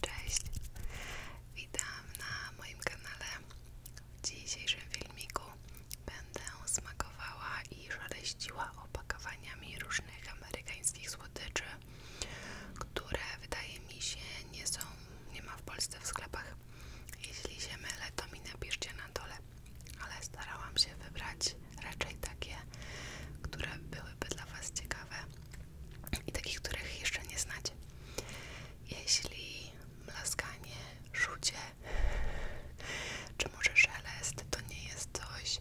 Cześć, witam na moim kanale. W dzisiejszym filmiku będę smakowała i szaleściła opakowaniami różnych amerykańskich słodyczy, które wydaje mi się nie są, nie ma w Polsce w sklepach. Jeśli się mylę, to mi napiszcie na dole, ale starałam się wybrać raczej takie, które były by dla Was ciekawe i takich, których jeszcze nie znacie. Jeśli mlaskanie, szucie czy może szelest to nie jest coś,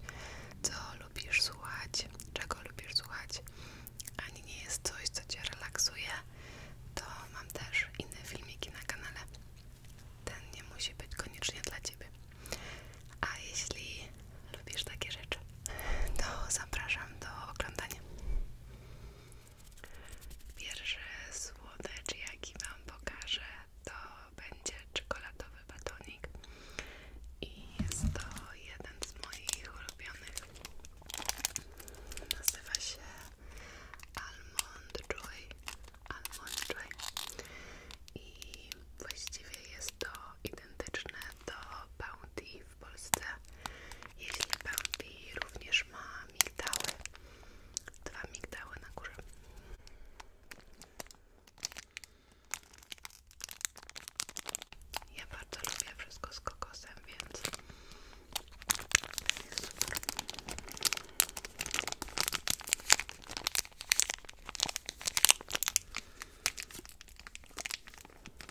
co lubisz słuchać, czego lubisz słuchać, ani nie jest coś, co Cię relaksuje, to mam też inne filmiki na kanale. Ten nie musi być koniecznie dla Ciebie. A jeśli lubisz takie rzeczy, to zapraszam do oglądania. Pierwszy słodycz, jaki Wam pokażę, to będzie czekoladowy batonik. I jest to jeden z moich ulubionych. Nazywa się Almond Joy. Almond Joy. I właściwie jest to identyczne do Bounty w Polsce. Jeśli Bambi również ma migdały. Dwa migdały na górze. Ja bardzo lubię wszystko z kokosem, więc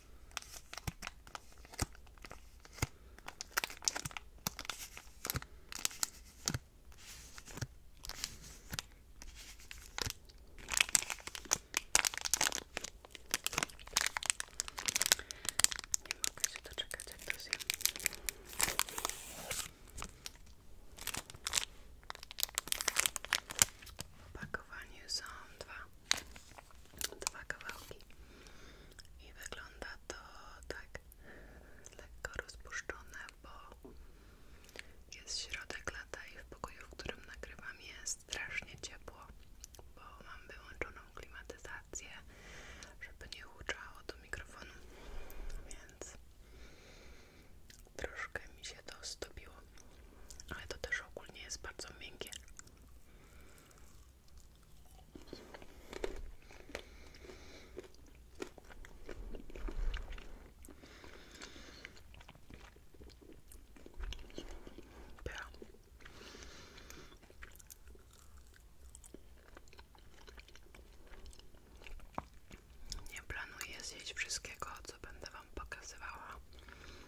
Nie mogę się doczekać, jak to zjem. Opakowanie są dwa dwa kawałki i wygląda to tak lekko rozpuszczone, bo jest środek lata i w pokoju, w którym nagrywam jest strasznie ciepło, bo mam wyłączoną klimatyzację, żeby nie huczało do mikrofonu, więc troszkę mi się to stopiło ale to też ogólnie jest bardzo miękkie. Pycha. Nie planuję zjeść wszystkiego, co będę Wam pokazywała.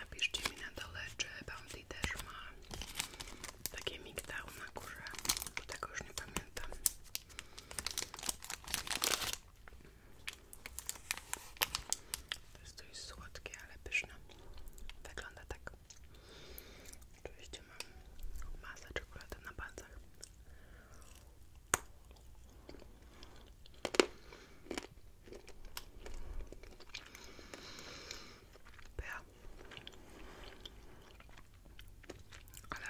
Napiszcie mi na dole, czy Bounty też ma takie migdał na górze, bo już nie pamiętam. jest coś słodkie, ale pyszne. Wygląda tak. Oczywiście mam masę czekolady na palcach. Ja. Ale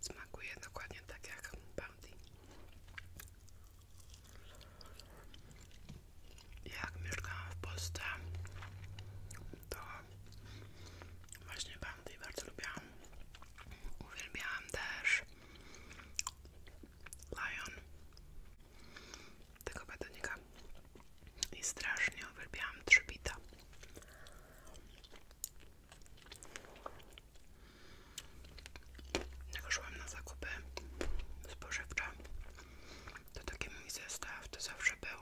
smakuje dokładnie tak jak Bounty. Jak mieszkałam w Polsce, to właśnie bandy bardzo lubiłam. Uwielbiałam też Lion tego batonika i strasznie uwielbiałam trzebita. Jak szłam na zakupy spożywcze, to taki mój zestaw to zawsze był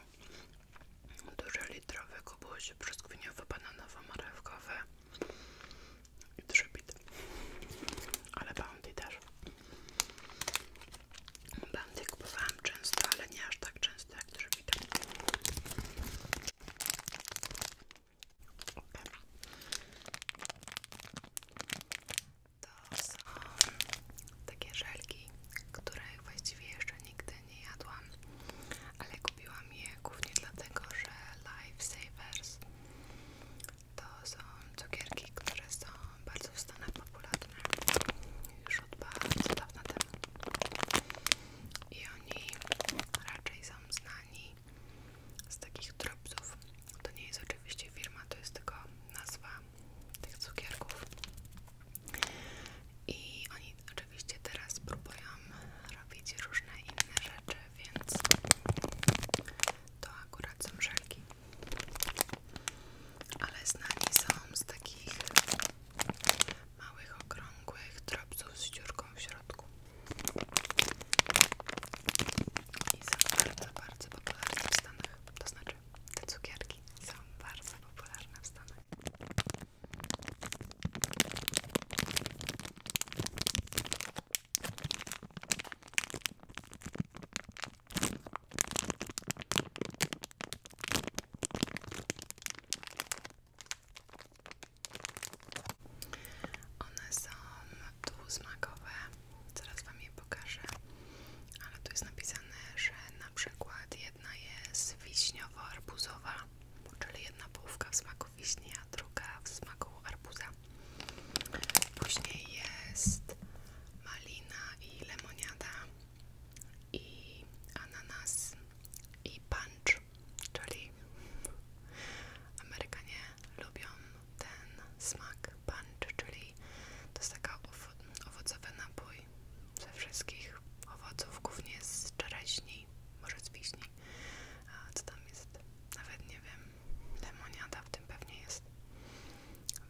duży litrowy kubuś brzoskwiniowy, bananowo, marewkowy i trzybit ale bandy też bandy kupowałam często, ale nie aż tak często jak trzybit okay. To są takie żelki, których właściwie jeszcze nigdy nie jadłam, ale kupiłam je głównie dlatego, że Lifesavers to są cukierki, które są bardzo w Stanach popularne już od bardzo dawna temu i oni raczej są znani z takich dropsów. To nie jest oczywiście firma, to jest tylko nazwa tych cukierków i oni oczywiście teraz próbują robić różne inne rzeczy, więc to akurat są żelki ale znani są z takich małych, okrągłych drobców z dziurką w środku i są bardzo, bardzo popularne w Stanach, to znaczy cukry. Te cukierki są bardzo popularne w Stanach. One są dwusmakowe zaraz Wam je pokażę, ale tu jest napisane, że na przykład jedna jest wiśniowo-arbuzowa, czyli jedna połówka w smaku wiśni, a druga w smaku arbuza. Później jest malina i lemoniada i ananas i punch, czyli Amerykanie lubią ten smak punch, czyli to jest taka owo owocowy napój ze wszystkich owoców, głównie z czereśni, może z wiśni, a co tam jest, nawet nie wiem, lemoniada w tym pewnie jest,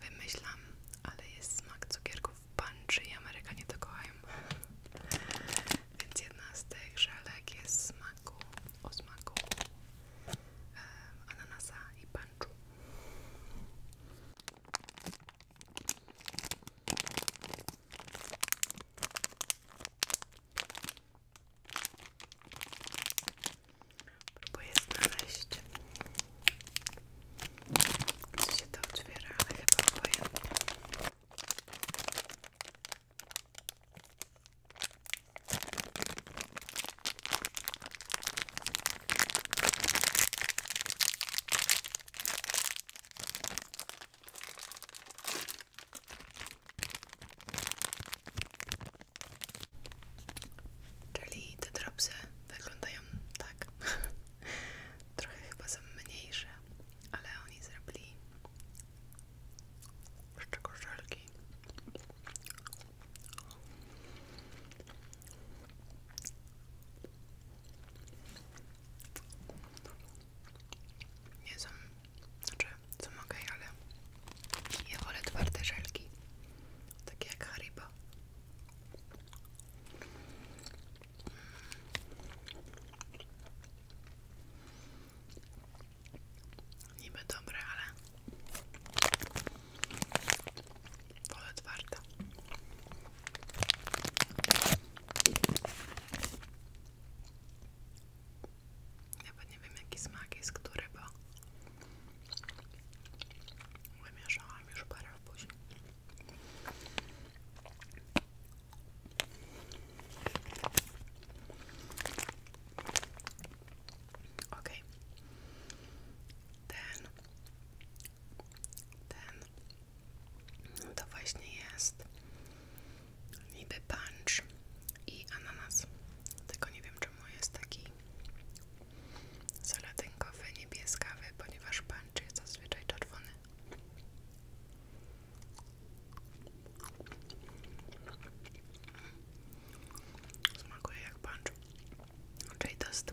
wymyślam, ale jest smak cukierków punch i Amerykanie to kochają. Więc jedna z tych żelek jest smaku, o smaku e, ananasa i punch płaczu. Próbuję znaleźć, gdzie się to otwiera, ale chyba pojęte. Czyli te dropsy wyglądają tak, trochę chyba są mniejsze, ale oni zrobili z czego nie są, znaczy są ok, ale ja wolę twarde żelki, takie jak Haribo. Niby dobre, ale Wolę twarde. Nawet nie wiem jaki smak jest który, bo wymieszałam już parę OK. Okay. Ten. Ten. No to właśnie jest niby punch i ananas. Tylko nie wiem czemu jest taki saladynkowy, niebieskawy, ponieważ punch jest zazwyczaj czerwony. Smakuje jak punch. Czyli to jest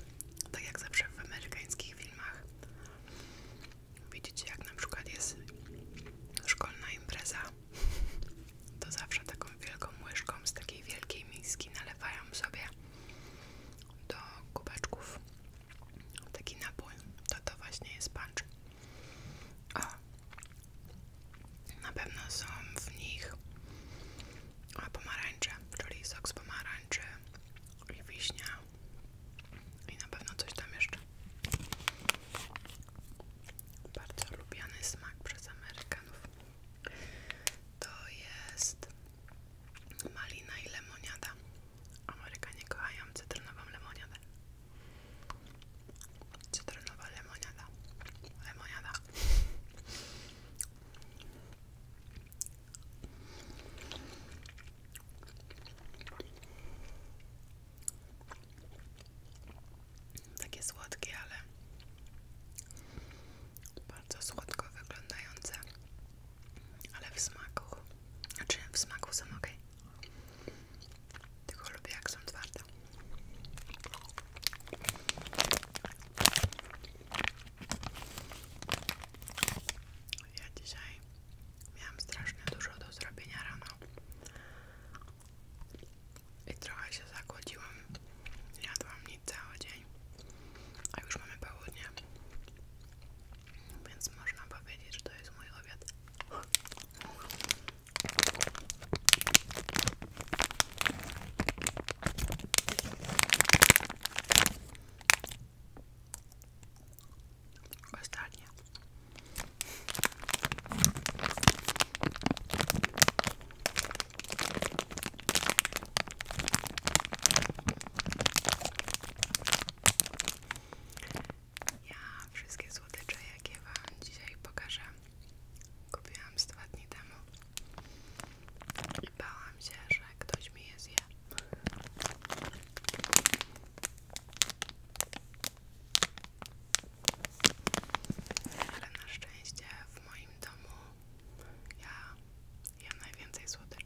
tak jak zawsze w amerykańskich filmach. Widzicie, jak na przykład jest szkolna impreza, to zawsze taką wielką łyżką z takiej wielkiej miski nalewają sobie do kubeczków taki napój. To to właśnie jest punch. O, na pewno są w nich pomarańcze, czyli sok z pomarańczy i wiśnia i na pewno coś tam jeszcze. Bardzo lubiany smak przez Amerykanów. To jest malina i lemoniada. Amerykanie kochają cytrynową lemoniadę. Cytrynowa lemoniada. Lemoniada. Takie słodkie, ale bardzo słodko wyglądające, ale w smaku, znaczy w smaku są ok. Tylko lubię jak są twarde. Ja dzisiaj miałam strasznie dużo do zrobienia rano i trochę się zakłodziłam. Jadłam nic cały dzień, a już mamy południe, więc można powiedzieć, że to jest mój obiad. Ostatnie. Ja wszystkie słodycze, jakie Wam dzisiaj pokażę, kupiłam z dwa dni temu. Bałam się, że ktoś mi je Ale na szczęście w moim domu ja jem najwięcej słodyczy.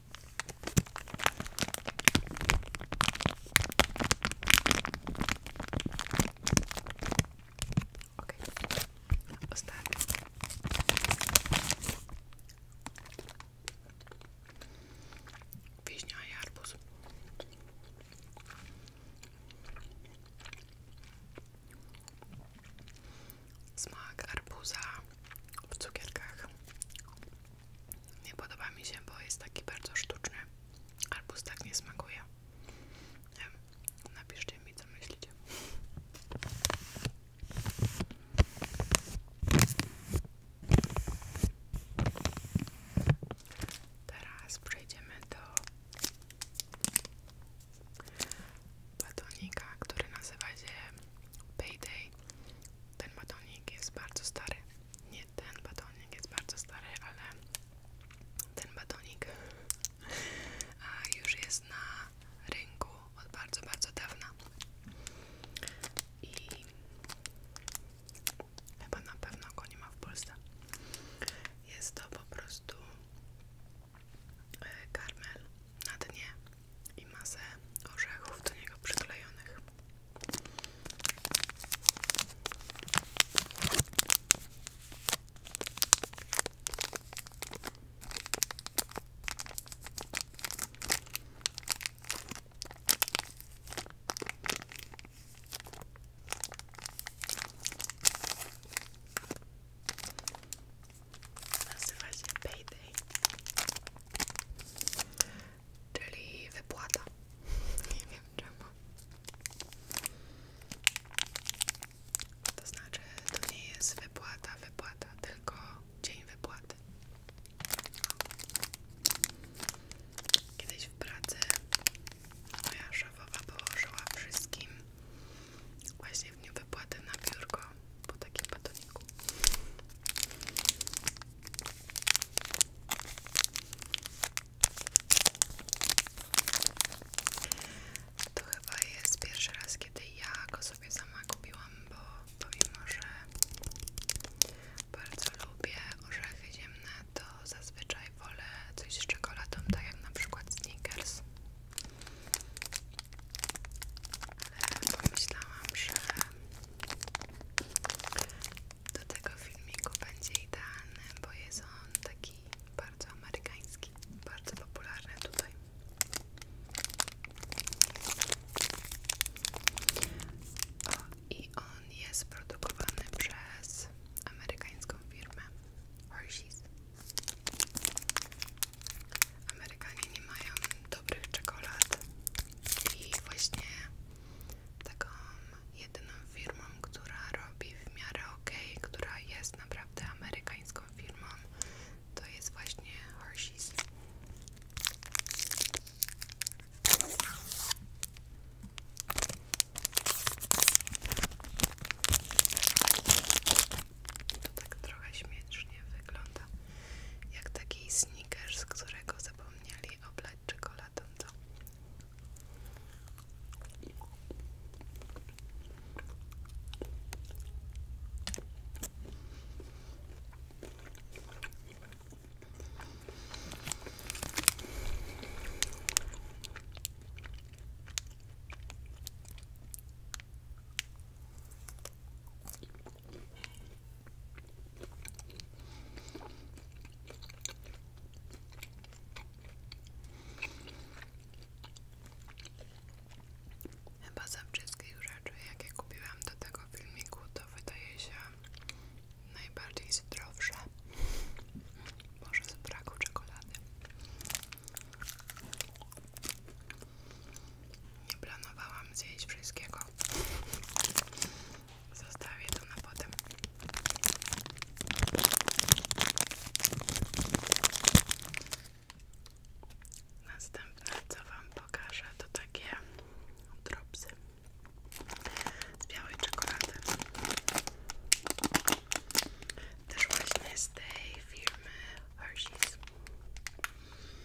ostatni. Wiśnia i arbuz. Smak arbuza w cukierkach. Nie podoba mi się, bo jest taki bardzo sztuczny. Arbuz tak nie smakuje. Napiszcie mi, co myślicie. Teraz przejdziemy do batonika, który nazywa się Payday ten batonik jest bardzo stary. Nie ten batonik jest bardzo stary, ale ten batonik już jest na rynku od bardzo, bardzo dawna. I chyba na pewno go nie ma w Polsce. Jest to po prostu e, karmel na dnie i masę orzechów do niego przyklejonych. Czyli wypłata. Nie wiem czemu. To znaczy, to nie jest wypłata, wypłata, tylko dzień wypłaty. Kiedyś w pracy moja szefowa położyła wszystkim właśnie w dniu wypłaty na biurko po takim batoniku. To chyba jest pierwszy raz, kiedy ja go sobie sama kupiłam, bo pomimo, że bardzo lubię orzechy ziemne, to zazwyczaj wolę coś z czekoladą, tak jak na przykład Snickers ale pomyślałam, że do tego filmiku będzie idealny, bo jest on taki bardzo amerykański, bardzo popularny tutaj. O, I on jest produkowany przez amerykańską firmę Hershey's. Amerykanie nie mają dobrych czekolad i właśnie taką jedyną firmą, która robi w miarę ok, która jest naprawdę amerykańską firmą, to jest właśnie Hershey's. To tak trochę śmiesznie wygląda jak taki sneaker, z którego zapomnieli oblać czekoladą to. Chyba ze wszystkich rzeczy, jakie kupiłam do tego filmiku, to wydaje się najbardziej zdrowsze. Może z braku czekolady. Nie planowałam zjeść wszystkiego. Zostawię to na potem. Następne co Wam pokażę to takie dropsy z białej czekolady. Też właśnie z tej firmy Hershey's.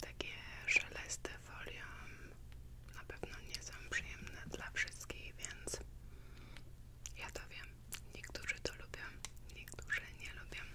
Takie szeleste folią na pewno nie są przyjemne dla wszystkich, więc ja to wiem. Niektórzy to lubią, niektórzy nie lubią.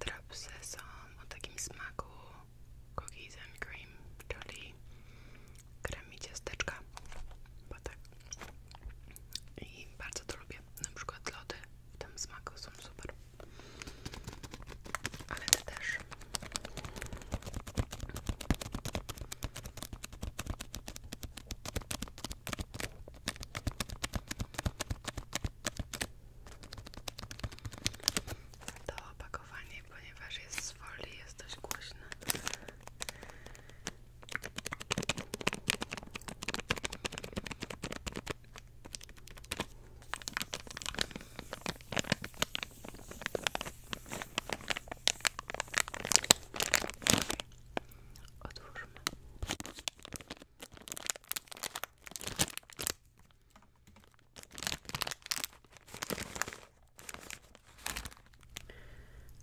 Te dropsy są o takim smaku cookies and cream, czyli krem i bo tak. I bardzo to lubię. Na przykład lody w tym smaku są super. Ale te też. To opakowanie, ponieważ jest z folii, jest dość głośne. Otwórzmy.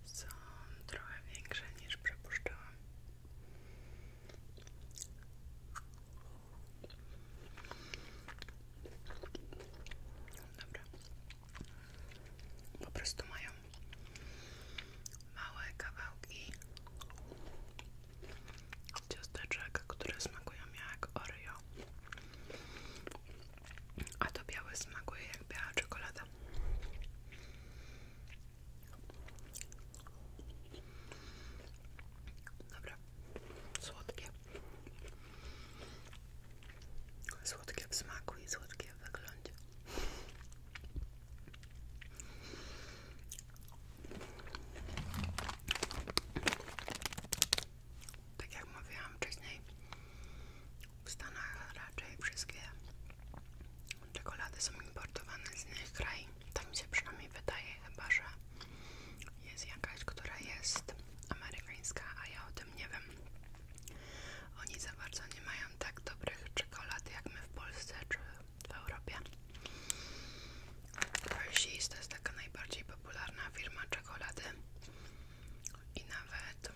Są trochę większe niż przepuszczałam. Dobra. Po prostu mają małe kawałki ciasteczek, które smakują jak Oreo. A to białe smakuje jak biała czekolada. Dobra, słodkie. Słodkie w smaku i słodkie w wyglądzie. Tak jak mówiłam wcześniej, w Stanach raczej wszystkie czekolady są importowane z innych krajów. Tak mi się przynajmniej wydaje, chyba że jest jakaś, która jest amerykańska, a ja o tym nie wiem. Oni za bardzo nie mają tak dobrych czekolad jak my w Polsce czy w Europie. Hershey's jest taka najbardziej popularna firma czekolady i nawet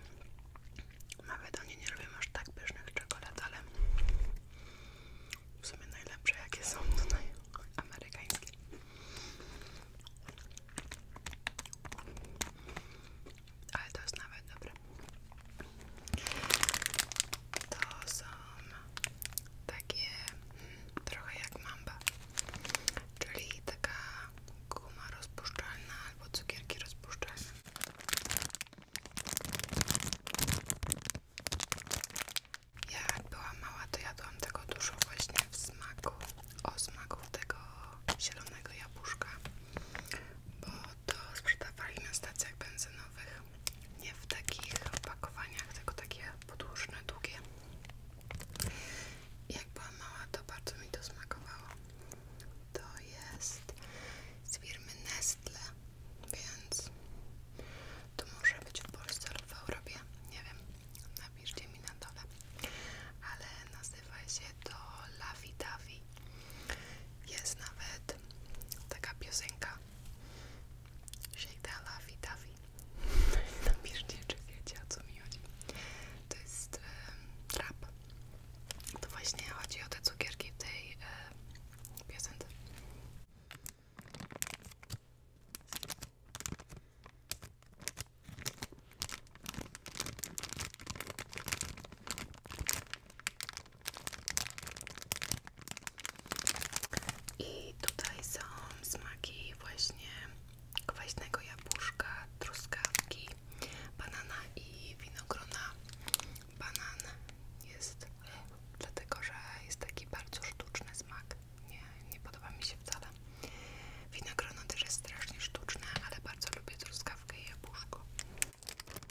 nawet oni nie robią aż tak pysznych czekolad, ale w sumie najlepsze jakie są tutaj amerykańskie ale to jest nawet dobre. To są takie mm, trochę jak mamba, czyli taka guma rozpuszczalna albo cukierki rozpuszczalne. Ja jak była mała, to jadłam tego dużo właśnie w smaku, o smaku tego zielonego jabłuszka bo to sprzedawali na stacjach benzynowych nie w takich opakowaniach, tylko takie podłużne, długie jak była mała, to bardzo mi to smakowało to jest z firmy Nestle więc to może być w Polsce lub w Europie, nie wiem napiszcie mi na dole ale nazywa się to Lavi Davi jest nawet taka piosenka Shake that lovey dovey Napiszcie, czy wiecie o co mi chodzi To jest e, rap To właśnie chodzi o te cukierki w tej e, piosence i tutaj są smaki właśnie kwaśnego jabłuszka, truskawki, banana i winogrona. Banan jest dlatego, że jest taki bardzo sztuczny smak. Nie, nie podoba mi się wcale. Winogrono też jest strasznie sztuczne, ale bardzo lubię truskawkę i jabłuszko.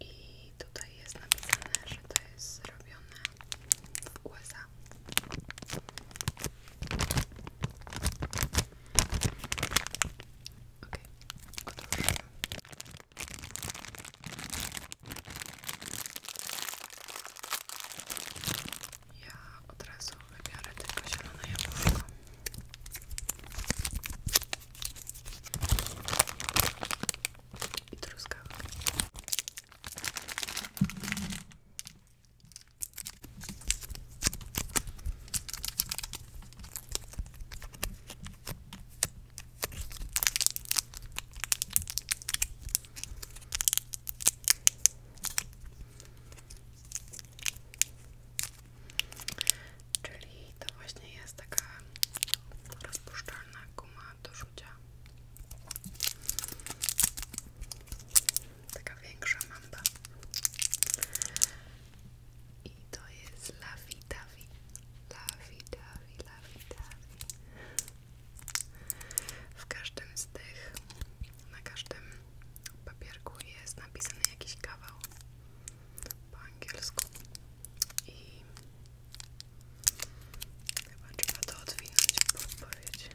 I tutaj jest napisane, że to jest zrobione w USA. Ok, otóż ja od razu wybiorę tylko zielone jabłko. I truskawkę. Czyli to właśnie jest taka rozpuszczalna guma do rzucia. Taka większa mamba. I to jest Lavi Davi. Lavi Davi, Lavi Davi. W każdym z tych, na każdym papierku jest napisany jakiś kawał po angielsku. I chyba trzeba to odwinąć pod odpowiedź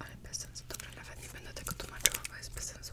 ale bez sensu, dobra, nawet nie będę tego tłumaczyła, bo jest bez sensu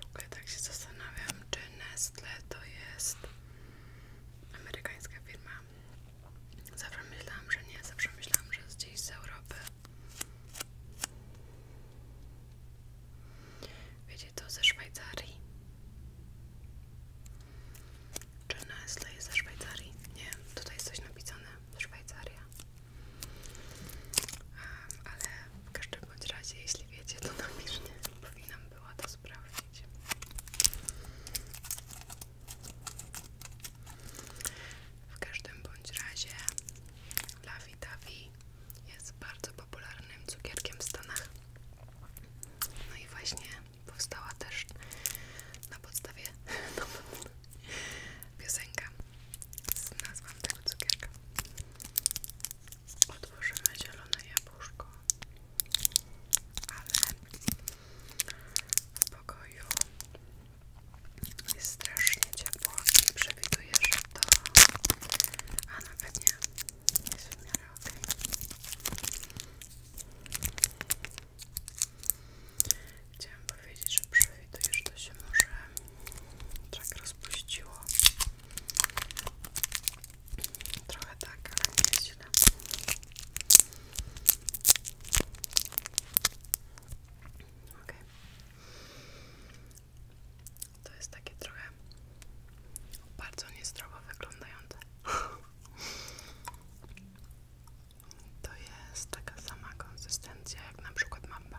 W ogóle tak się zastanawiam, czy Nestle to jest amerykańska firma. Zawsze myślałam, że nie, zawsze myślałam, że jest gdzieś z Europy. Wiecie, to ze Szwajcarii. Czy Nestle jest ze Szwajcarii? Nie, tutaj jest coś napisane. Szwajcaria ale w każdym bądź razie, jeśli wiecie, to na napiszcie, powinnam była to sprawdzić. W każdym bądź razie Lavi Tavi jest bardzo popularnym cukierkiem w Stanach. No i właśnie powstała też na podstawie no, piosenka z nazwą tego cukierka. Otworzymy zielone jabłuszko, ale w pokoju jest strasznie ciepło i przewiduję, że to... a no pewnie jest w miarę okej. Chciałam powiedzieć, że przewiduję, że to się może tak rozpuściło. Trochę tak, ale nie jest źle. To jest takie trochę bardzo niezdrowo wyglądające to jest taka sama konsystencja jak na przykład mamba.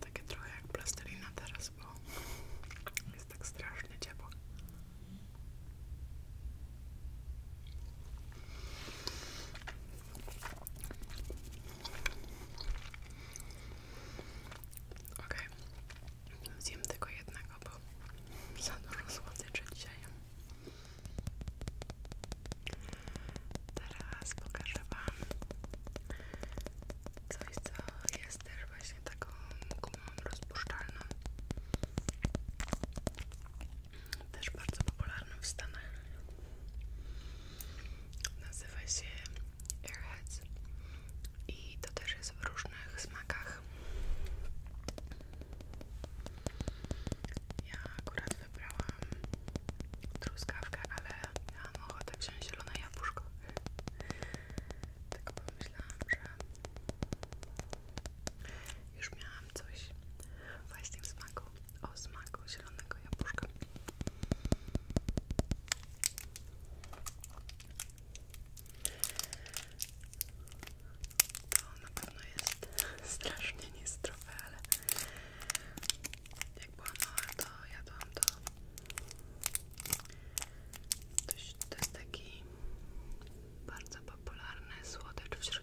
Takie trochę jak plastelina teraz, bo jest tak strasznie ciepło. Okej, okay. zjem tylko jednego, bo za dużo słodyczy dzisiaj. Teraz pokażę Wam coś, co jest też właśnie taką gumą też bardzo popularny w Stanach. Nazywa się Airheads i to też jest w różnych smakach. Ja akurat wybrałam truskawkę, ale miałam ochotę wziąć zielone jabłuszko. Tylko pomyślałam, że już miałam mam coś właśnie w smaku, o smaku zielonego jabłuszka. To na pewno jest strasznie niezdrowe, ale jak byłam mała, to jadłam to. To jest taki bardzo popularny słodycz w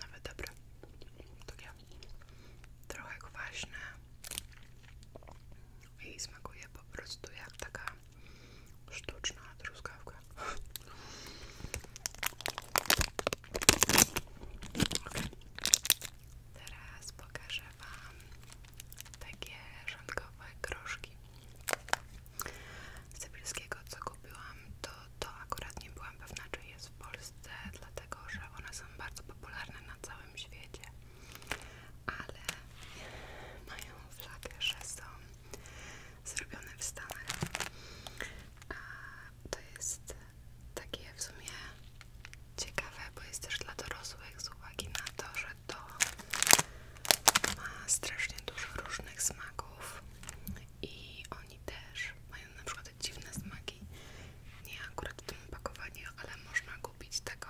Nawet dobre. Takie trochę kwaśne. I smakuje po prostu jak taka sztuczna truskawka. Okay. Teraz pokażę Wam takie rządkowe groszki. Sybirskiego, co kupiłam, to to akurat nie byłam pewna, czy jest w Polsce, dlatego że one są bardzo popularne na całym świecie, ale mają flagę, że są zrobione w Stanach. A to jest takie w sumie ciekawe, bo jest też dla dorosłych z uwagi na to, że to ma strasznie dużo różnych smaków i oni też mają na przykład dziwne smaki. Nie akurat w tym opakowaniu, ale można kupić taką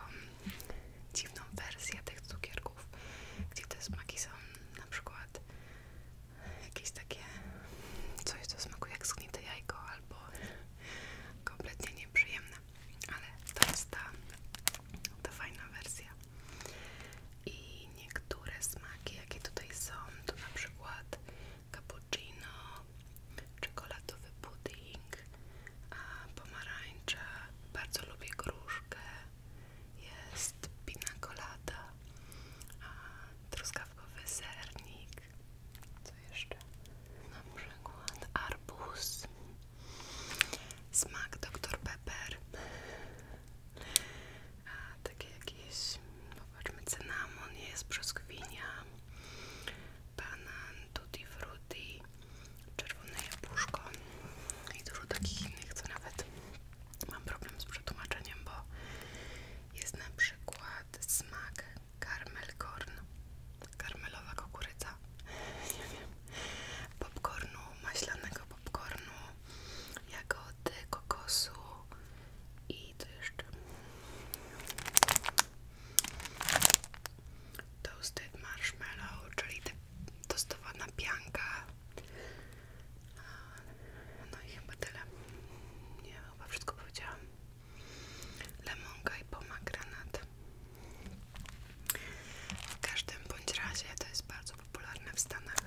dziwną wersję tych cukierków, gdzie te smaki są na przykład jakieś takie coś, co smakuje jak zgnite jajko albo kompletnie nieprzyjemne. Ale to jest ta, ta fajna wersja. I niektóre smaki, jakie tutaj są, to na przykład cappuccino, czekoladowy pudding, pomarańcze, bardzo lubię gruszkę, jest pina colada, truskawkowy sernik, co jeszcze? Na przykład arbuz, smak Dr. Pepper, a takie jakieś, popatrzmy, cynamon jest, brzoskwinia, banan, tutti frutti, czerwone jabłuszko i dużo takich innych, co nawet mam problem z przetłumaczeniem, bo jest na przykład smak karmelkorn, karmelowa kukurydza, nie wiem, popcornu maślanego popcornu, jagody, kokosu i to jeszcze toasted marshmallow, czyli te tostowana pianka no i chyba tyle nie, chyba wszystko powiedziałam lemonka i poma granat w każdym bądź razie to jest bardzo popularne w Stanach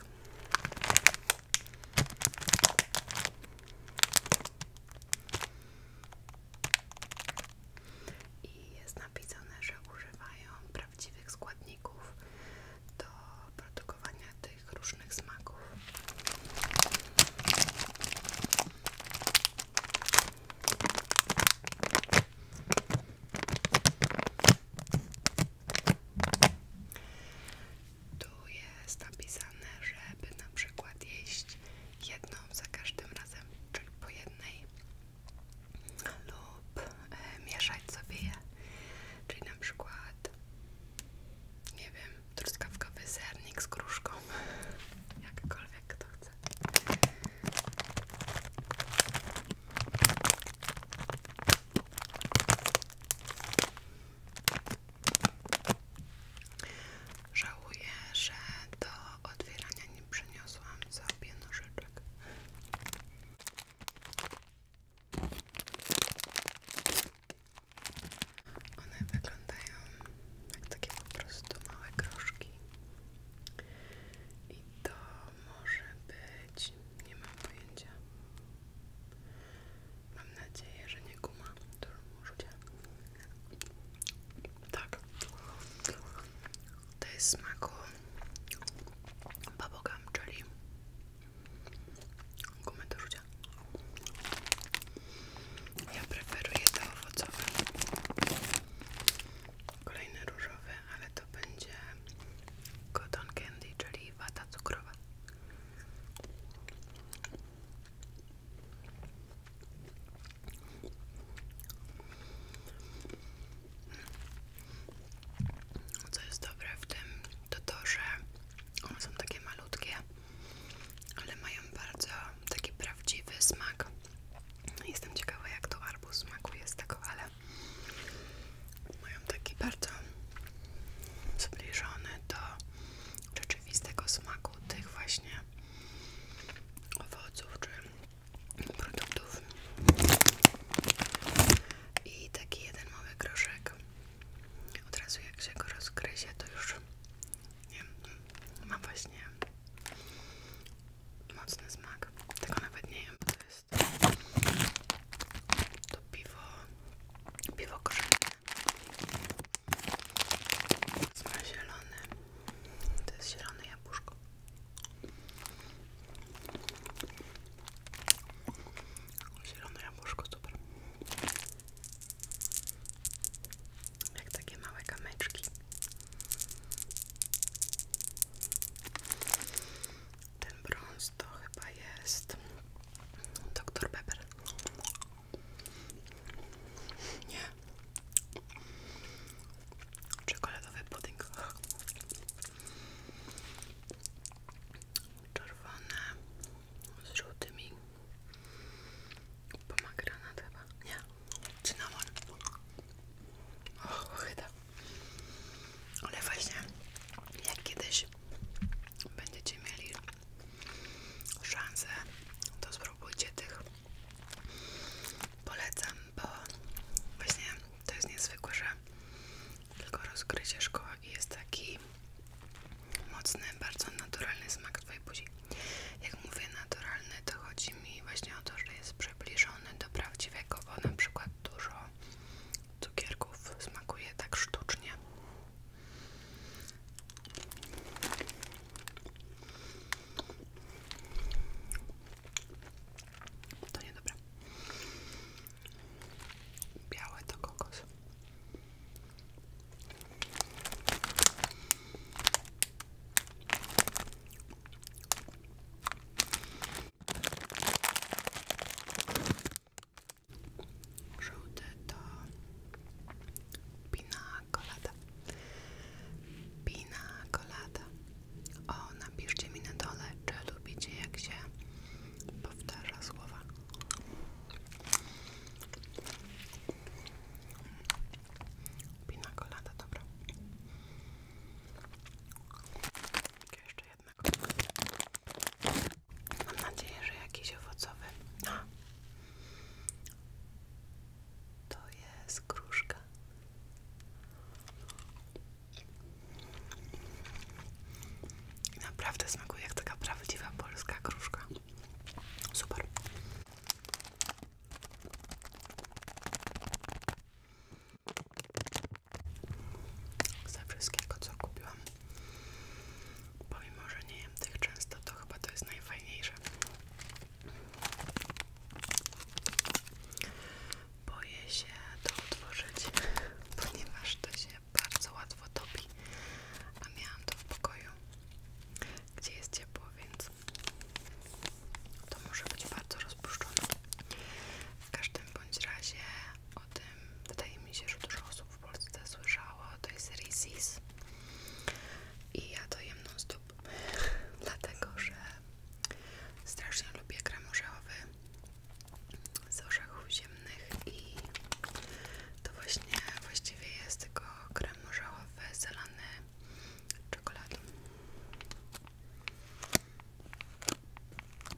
i jest napisane, że używają prawdziwych składników do produkowania tych różnych smaków. Tu jest napisane, żeby na przykład jeść jedną za każdym razem, czyli po jednej lub e, mieszać sobie je. Czyli na przykład, nie wiem, truskawkowy sernik z gruszką, jakkolwiek to. chce. Żałuję, że do otwierania nie przyniosłam sobie nożyczek. One wyglądają jak takie po prostu małe groszki. I to może być, nie mam pojęcia, Mam nadzieję, że nie guma, którą rzucie. Tak. To jest smaku babogam, czyli gumy do rzucia. Ja preferuję te owocowe. Kolejny różowy, ale to będzie cotton candy, czyli wata cukrowa. Co jest dobre w tym, to to, że one są takie malutkie, ale mają bardzo taki prawdziwy smak. Jestem ciekawa, jak to arbuz smakuje z tego, ale mają taki bardzo zbliżony do rzeczywistego smaku tych właśnie owoców czy produktów. I taki jeden mały groszek. Od razu jak się go rozgryzie, to już nie, ma właśnie mocny smak. Tego nawet nie wiem, bo to jest jest to piwo, piwo korzenne zielone, to jest zielone jabłuszko zielone super jak takie małe kamyczki ten bronz to chyba jest Dr. Pepper. Nie. Czekoladowy pudding. czerwony z żółtymi. Pomagranat chyba. Nie. Cynamon. Och, chyba. Ale właśnie, jak kiedyś będziecie mieli szansę, to spróbujcie tych. Polecam, bo właśnie to jest niezwykłe, że tylko rozgrycie szkoła jest taki mocny, bardzo naturalny smak Twojej buzi. Jak mówię naturalny, to chodzi mi właśnie o to, że jest przybliżony do prawdziwego, bo na przykład dużo cukierków smakuje tak sztucznie. To niedobre. Białe to kokos. Żółty to pina colada. Pina colada. O, napiszcie mi na dole, czy lubicie jak się powtarza słowa. Pina colada, dobra. Jeszcze jednego. Mam nadzieję, że jakiś owocowy. No. To jest kruszka. Naprawdę smakuje jak taka prawdziwa polska kruszka. Super ze wszystkiego co kupiłam pomimo, że nie jem tych często to chyba to jest najfajniejsze boję się to otworzyć ponieważ to się bardzo łatwo topi a miałam to w pokoju gdzie jest ciepło, więc to może być bardzo rozpuszczone w każdym bądź razie o tym, wydaje mi się, że dużo osób w Polsce słyszało o tej serii i ja to jem non dlatego że strasznie lubię krem z orzechów ziemnych i to właśnie właściwie jest tego krem orzechowy zalany czekoladą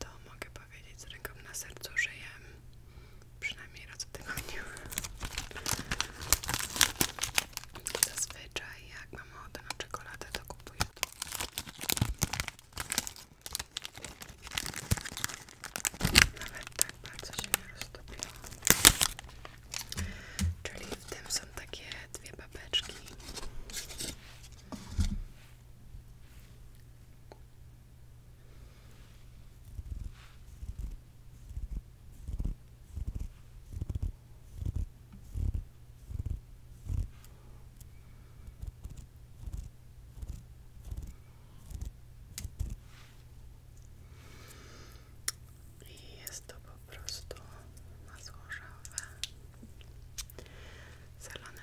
To mogę powiedzieć z ręką na sercu, że jem przynajmniej raz w tygodniu. Zazwyczaj jak mam ochotę na czekoladę, to kupuję to. Nawet tak bardzo się nie roztopiło. Czyli w tym są takie dwie babeczki i jest to po prostu masło orzechowe zalane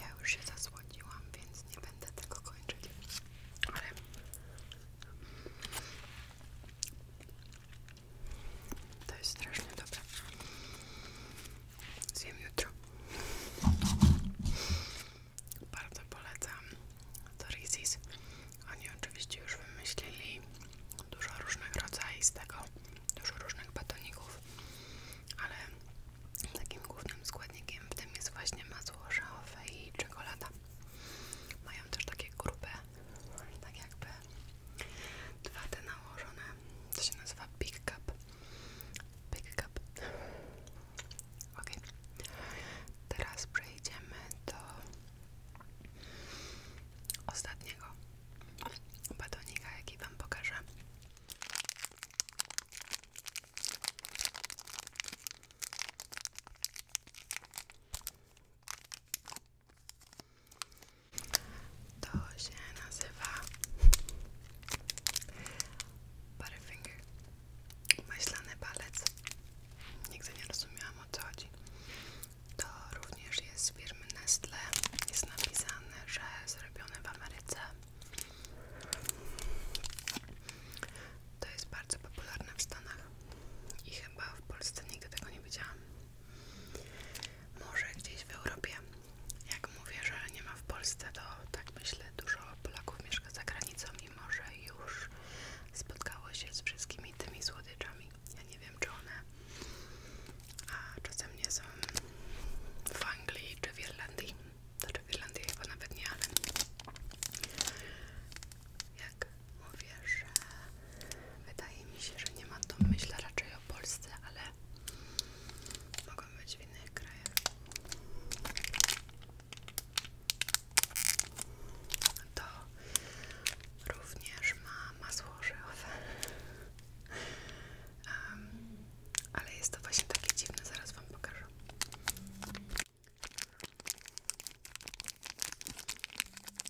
Ja już się zasłodziłam, więc nie będę tego kończyć. To jest strasznie dobre. Zjem jutro. Bardzo polecam Torizis. Oni oczywiście już wymyślili dużo różnych rodzajów z tego, dużo różnych batoników, ale takim głównym składnikiem w tym jest właśnie masło orzechowe i czekolada. Mają też takie grube, tak jakby dwa te nałożone to się nazywa Big Cup. Ok. Teraz przejdziemy do ostatniego batonika, jaki Wam pokażę. To się nazywa Butterfinger. Maślany palec. Nigdy nie rozumiałam o co chodzi. To również jest z firmy Nestle. Jest napisane, że jest zrobione w Ameryce. To jest bardzo popularne w Stanach i chyba w Polsce nigdy tego nie widziałam. Może gdzieś w Europie. Jak mówię, że nie ma w Polsce, to tak myślę, dużo Polaków mieszka za granicą Mimo że już spotkało się z wszystkimi tymi słodyczami. Ja nie wiem, czy one a czasem nie są w Anglii czy w Irlandii. Znaczy w Irlandii chyba nawet nie, ale jak mówię, że Wydaje mi się, że nie ma to. Myślę raczej o Polsce, ale mogą być w innych krajach. To również ma masło orzechowe. ale jest to właśnie takie dziwne, zaraz Wam pokażę.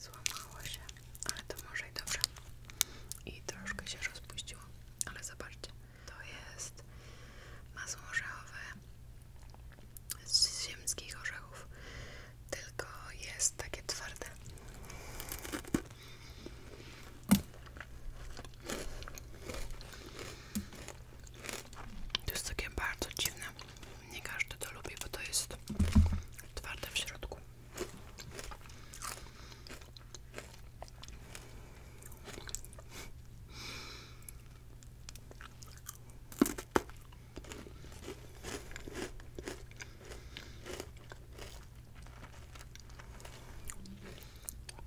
Złamało się, ale to może i dobrze. I troszkę się rozpuściło, ale zobaczcie. To jest masło orzechowe z ziemskich orzechów, tylko jest takie twarde. To jest takie bardzo dziwne. Nie każdy to lubi, bo to jest twarde w środku.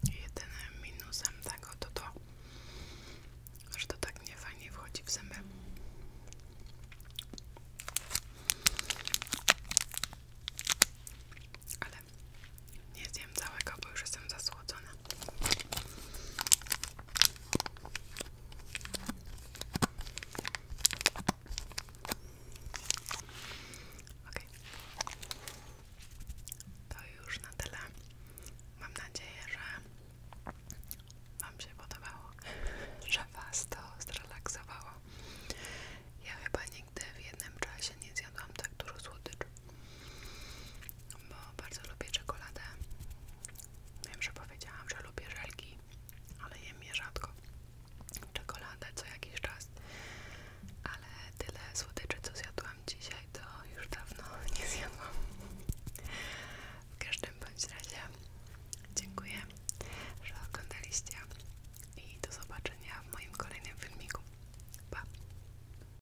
Jedynym minusem tego to to, że to tak nie fajnie wchodzi w zęby. Ale nie zjem całego, bo już jestem zasłodzona. Ok. To już na tyle. Mam nadzieję, że Wam się podobało, że Was to zrelaksowało. Ja chyba nigdy w jednym czasie nie zjadłam tak dużo słodyczy bo bardzo lubię czekoladę. Wiem, że powiedziałam, że lubię żelki, ale jem je rzadko. Czekoladę co jakiś czas, ale tyle słodyczy, co zjadłam dzisiaj, to już dawno nie zjadłam. W każdym bądź razie dziękuję, że oglądaliście i do zobaczenia w moim kolejnym filmiku. Pa!